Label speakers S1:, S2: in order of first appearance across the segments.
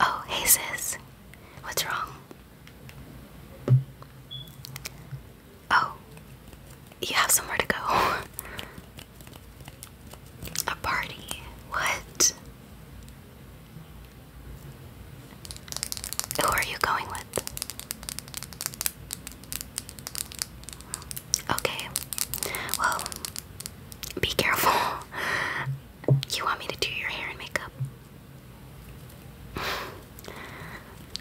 S1: Oh, hey sis. What's wrong? Oh, you have somewhere to go. A party? What? Who are you going with? Okay. Well, be careful. You want me to do your hair and makeup?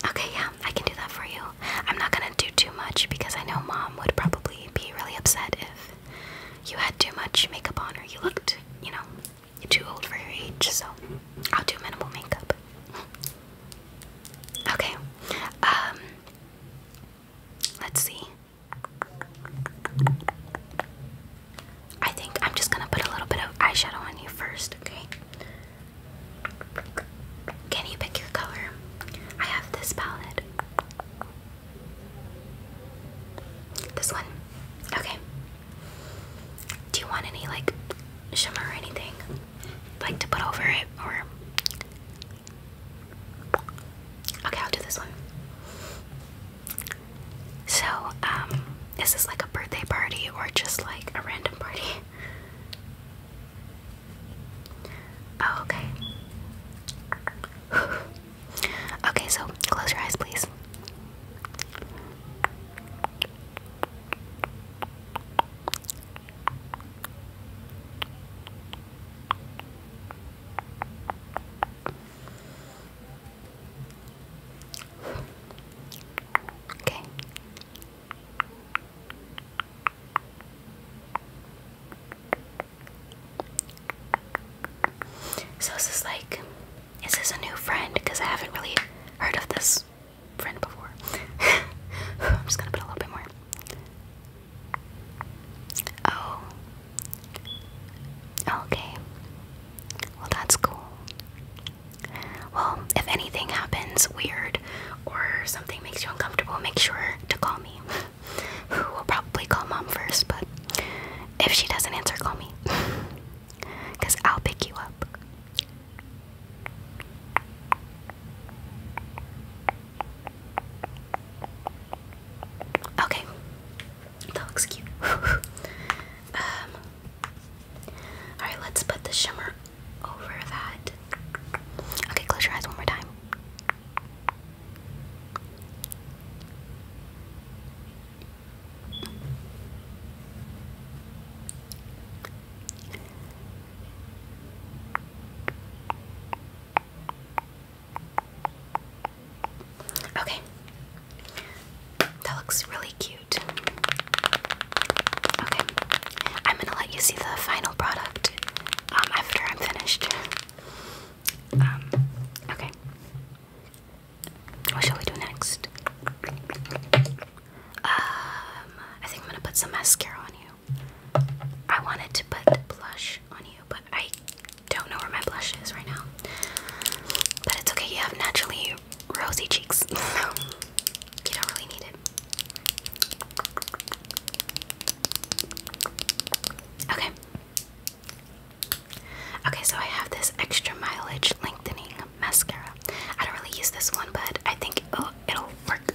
S1: Okay, yeah, I can do that for you. I'm not gonna do too much because I know mom would probably be really upset if you had too much makeup on or you looked, you know, too old for your age, so I'll do minimal makeup. Okay. Um let's see. I think I'm just gonna put a little bit of eyeshadow on you first, okay? Can you pick your color? I have this palette. This one? Okay. Do you want any like shimmer or anything? Like to put over it or Okay, I'll do this one. So, um, is this like a birthday party or just like a random party? Oh, okay. okay, so close your eyes, please. Okay. So is this like is this a new friend? Because I haven't really heard of this friend before. I'm just gonna put a little bit more. Oh. Okay. Well, that's cool. Well, if anything happens weird or something makes you uncomfortable, make sure to call me. Who will probably call mom first, but if she doesn't answer, call me. Because I'll pick you up. Okay, that looks cute. um, Alright, let's put the shimmer over that. Okay, close your eyes one more time. Okay. That looks really cute. Okay. I'm going to let you see the final product um, after I'm finished. Um, okay. What shall we do next? Um, I think I'm going to put some mascara on you. I wanted to put blush on you, but I don't know where my blush is right now. But it's okay, you have naturally rosy cheeks. you don't really need it. Okay. Okay, so I have this extra mileage lengthening mascara. I don't really use this one, but I think it it'll work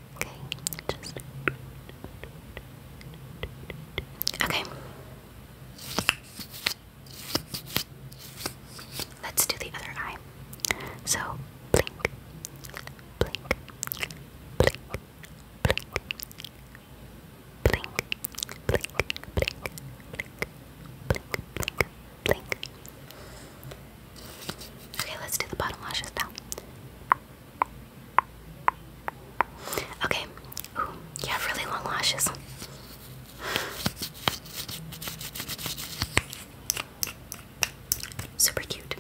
S1: Okay, just Okay. Let's do the other eye. So blink, blink, blink, blink, blink, blink, blink, blink, blink, blink, blink. Okay, let's do the bottom lashes now. Okay. you have really long lashes. Super cute.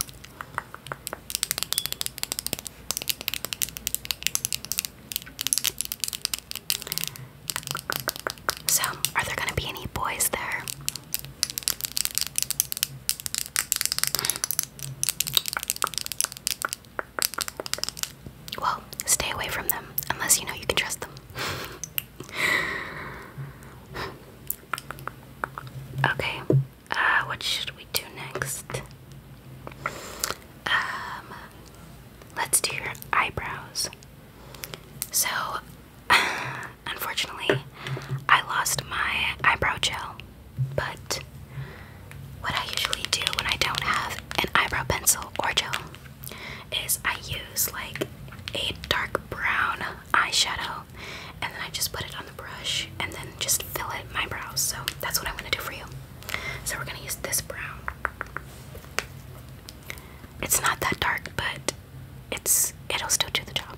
S1: So, are there going to be any boys there? Well, stay away from them unless you know you can trust them. okay, uh, what should we do next? Um, let's do your eyebrows. So, unfortunately, I lost my eyebrow gel. But what I usually do when I don't have an eyebrow pencil or gel is I use like a dark brown eyeshadow and then I just put it on the brush and then just fill it my brows. So that's what I'm gonna do for you. So we're gonna use this brown. It's not that dark, but it's it'll still do the job.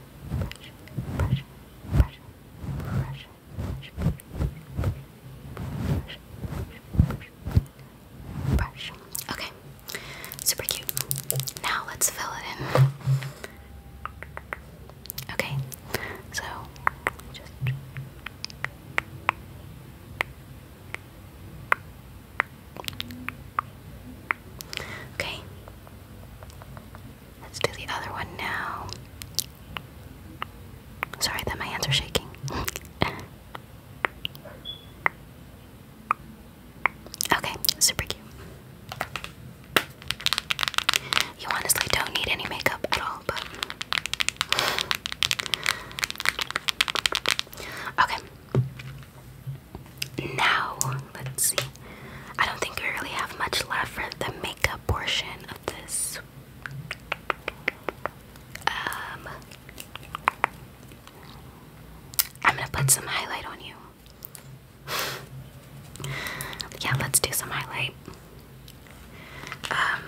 S1: brush, Okay, super cute. Now let's fill it in. Okay, so Okay. Let's do the other one now. Sorry that my hands are shaking. okay, super cute. You honestly don't need any makeup at all, but. Okay. Now, let's see. I don't think we really have much left for the makeup portion of this. Um, I'm gonna put some highlight on you. yeah, let's do some highlight. Um,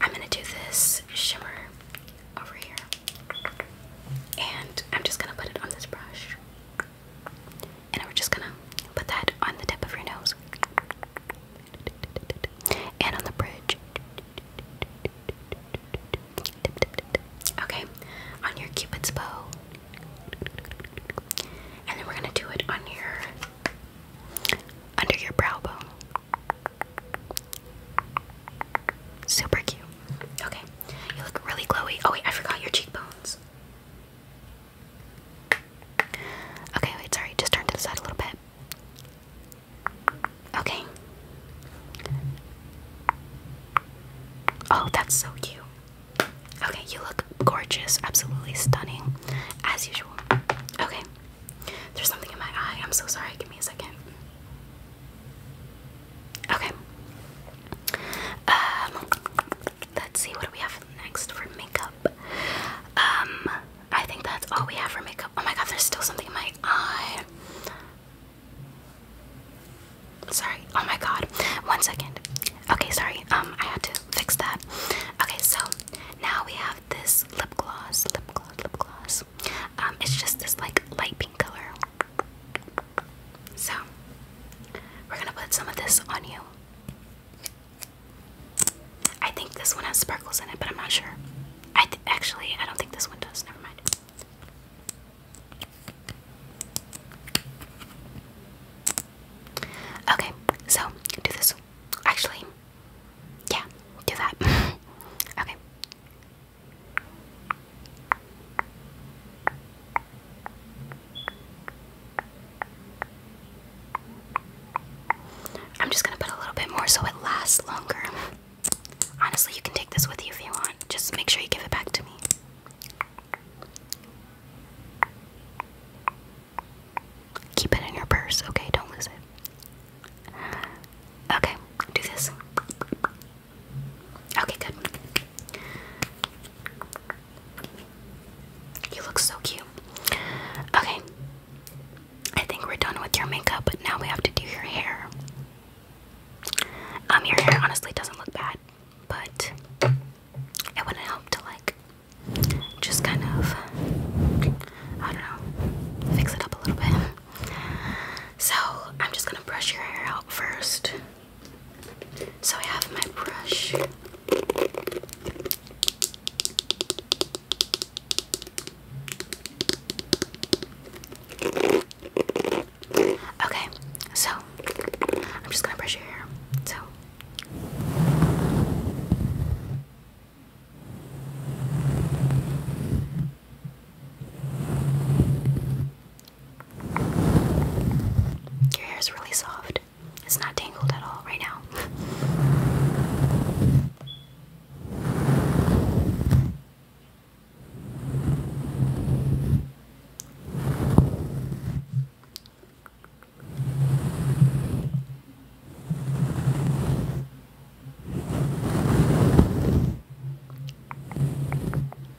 S1: I'm gonna do this shimmer over here. And I'm just gonna put it on this brush. And we're just gonna put that on the tip of your nose. And on the bridge. Okay, on your cupid's bow. And then we're gonna do it on your under your brow bone. Super cute. Okay, you look really glowy. Oh wait, I forgot your cheekbones. Okay, wait, sorry, just turn to the side a little bit. Okay. Oh, that's so cute. Okay, you look gorgeous, absolutely stunning, as usual. Okay, there's something in my eye. I'm so sorry. Give me a second. Okay. Um, let's see what do we have next for makeup. Um, I think that's all we have for makeup. Oh my god, there's still something in my eye. Sorry. Oh my god. One second. Okay, sorry. Um, I had to fix that. Okay, so now we have this lip gloss, lip gloss, lip gloss. Um, it's just this like light pink color. So, we're gonna put some of this on you. I think this one has sparkles in it, but I'm not sure. I actually, I don't think this one does. Never mind. Okay, so do this. Actually, yeah, do that. okay, I'm just gonna put a little bit more so it lasts longer. Honestly, you can take this with you if you want. Just make sure you give it back to me. Keep it in your purse, okay? Don't lose it. Okay, do this. Okay, good. You look so cute. Okay. I think we're done with your makeup, but now we have to do your hair. Um, your hair honestly doesn't look bad, but it wouldn't help to like just kind of I don't know fix it up a little bit. So I'm just gonna brush your hair out first. So I have my brush. Okay, so I'm just gonna brush your hair. So your hair is really soft. It's not tangled at all right now.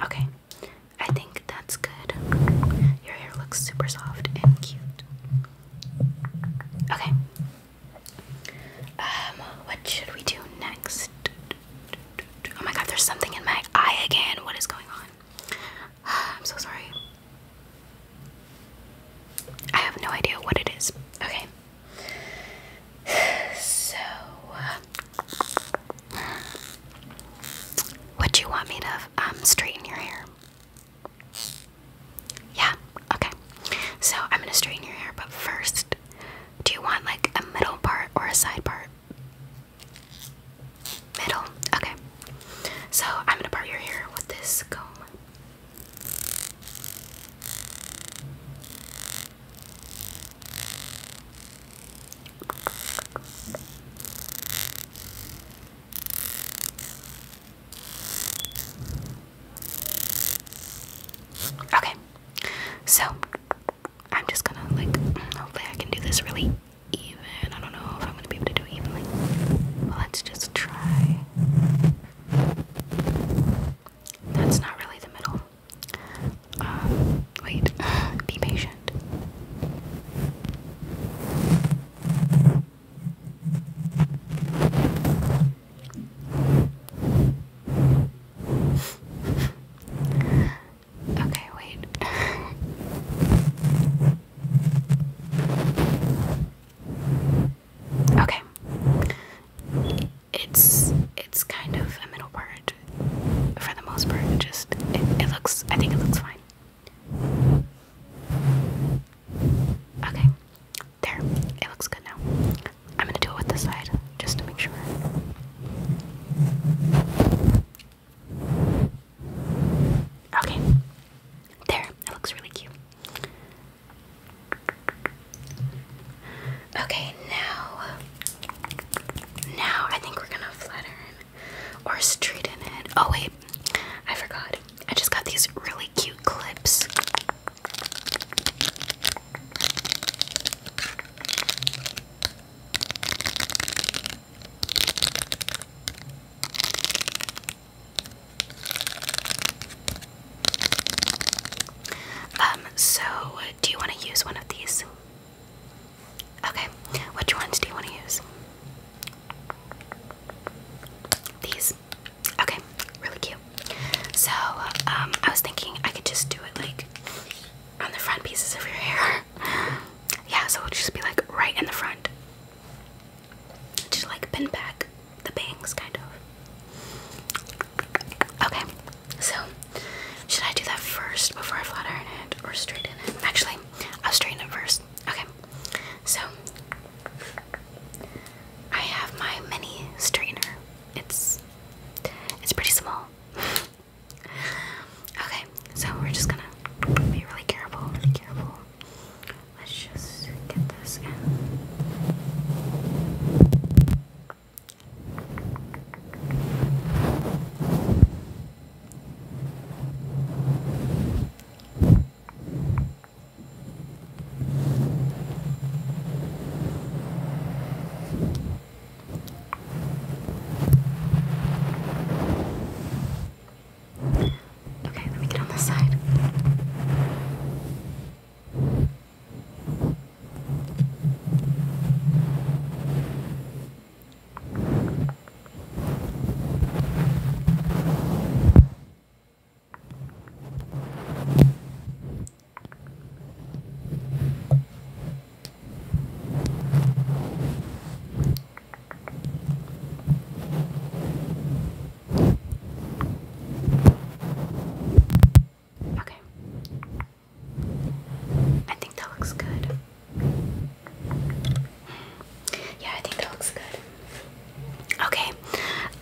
S1: Okay, I think that's good. Your hair looks super soft and cute. Okay. Um, what should we do next? Oh my god, there's something in my eye again. What is going on? I'm so sorry. I have no idea what it is. Okay. So, uh, would you want me to um, straighten your hair? Yeah, okay. So I'm gonna straighten your hair, but first, do you want like a middle part or a side part? Middle, okay. So I'm gonna part your hair with this comb. Okay, so I'm just gonna like, hopefully, I can do this really even. I don't know if I'm gonna be able to do evenly. Well, let's just try. That's not really the middle. Um, wait, be patient okay, wait. okay. It's it's kind of a middle part for the most part. Just it, it looks I think it looks fine. Okay, there. It looks good now. I'm gonna do it with this side just to make sure. Okay, there. It looks really cute. Okay, now, now I think we're gonna flutter or street in it. Oh, wait, I forgot. I just got these really cute clips. Um, so do you want to use one of these? Okay, which ones do you want to use? These. Okay, really cute. So, um, I was thinking I could just do it like on the front pieces of your hair. yeah, so it'll just be like right in the front. Just like pin back the bangs, kind of. Okay, so should I do that first before I flat iron it or straighten it? Actually, I'll straighten it first. Okay, so I have my mini strainer. It's it's pretty small. okay, so we're just gonna be really careful, really careful. Let's just get this in. Okay, let me get on this side. Okay, Okay. I think that looks good. Yeah, I think that looks good. Okay,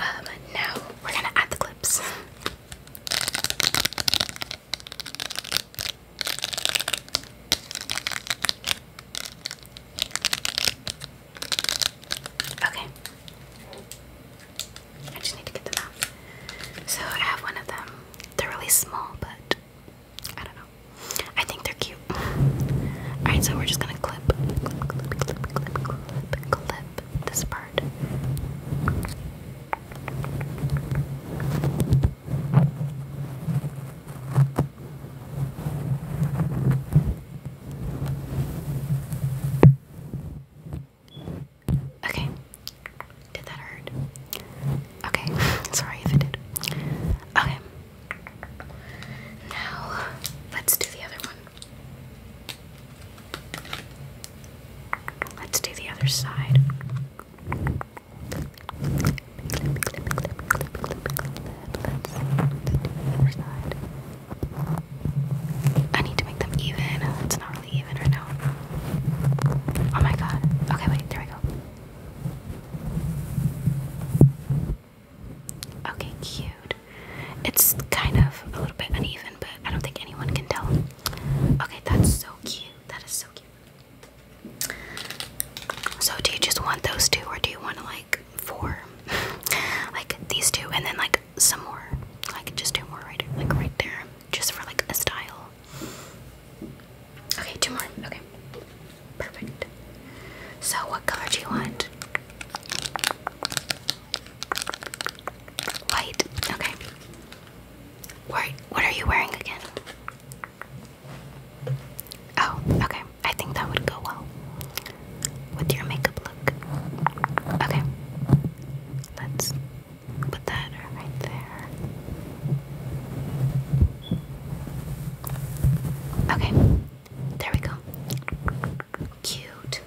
S1: um, now we're gonna add the clips. Okay. I just need to get them out. So I have one of them. They're really small, but I don't know. I think they're cute. Alright, so we're just gonna clip, clip, clip, clip, clip, clip, clip this part. Okay. Did that hurt? Okay. Sorry if it did. Okay. Now, let's do the other one. Let's do the other side. I need to make them even. It's not really even right now. Oh my god. Okay, wait, there we go. Okay, cute. It's kind of a little bit uneven, but I don't think anyone can tell. Okay, that's so cute. That is so cute. So, do you just want those two, or do you want like four? like these two, and then like some more. I could just do more right like right there. Just for like a style. Okay, two more. Okay. Perfect. So, what color do you want? White. Okay. White. What are you wearing again? Oh, okay. I think that would go well with your makeup look. Okay. Let's put that right there. Okay. There we go. Cute.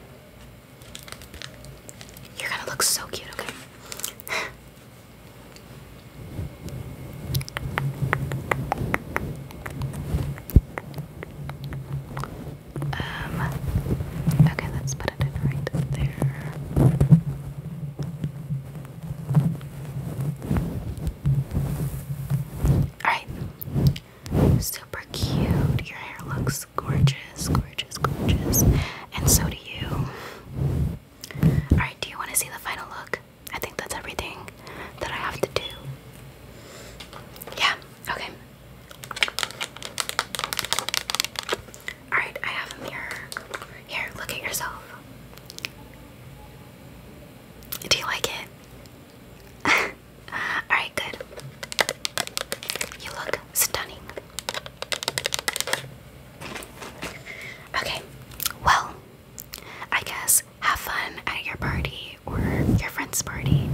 S1: You're gonna look so cute, okay? um, okay, let's put it in right there. Alright, Super cute. Your hair looks gorgeous, gorgeous, gorgeous. And so do you. Alright, do you want to see the final look? I think that's everything that I have to do. Yeah, okay. Alright, I have a mirror. Here, look at yourself. Do you like it? Alright, good. You look stunning. Okay, well, I guess have fun at your party or your friend's party.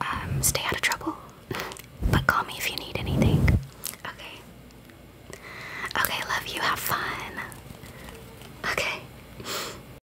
S1: Um, stay out of trouble, but call me if you need anything. Okay? Okay, love you. Have fun. Okay.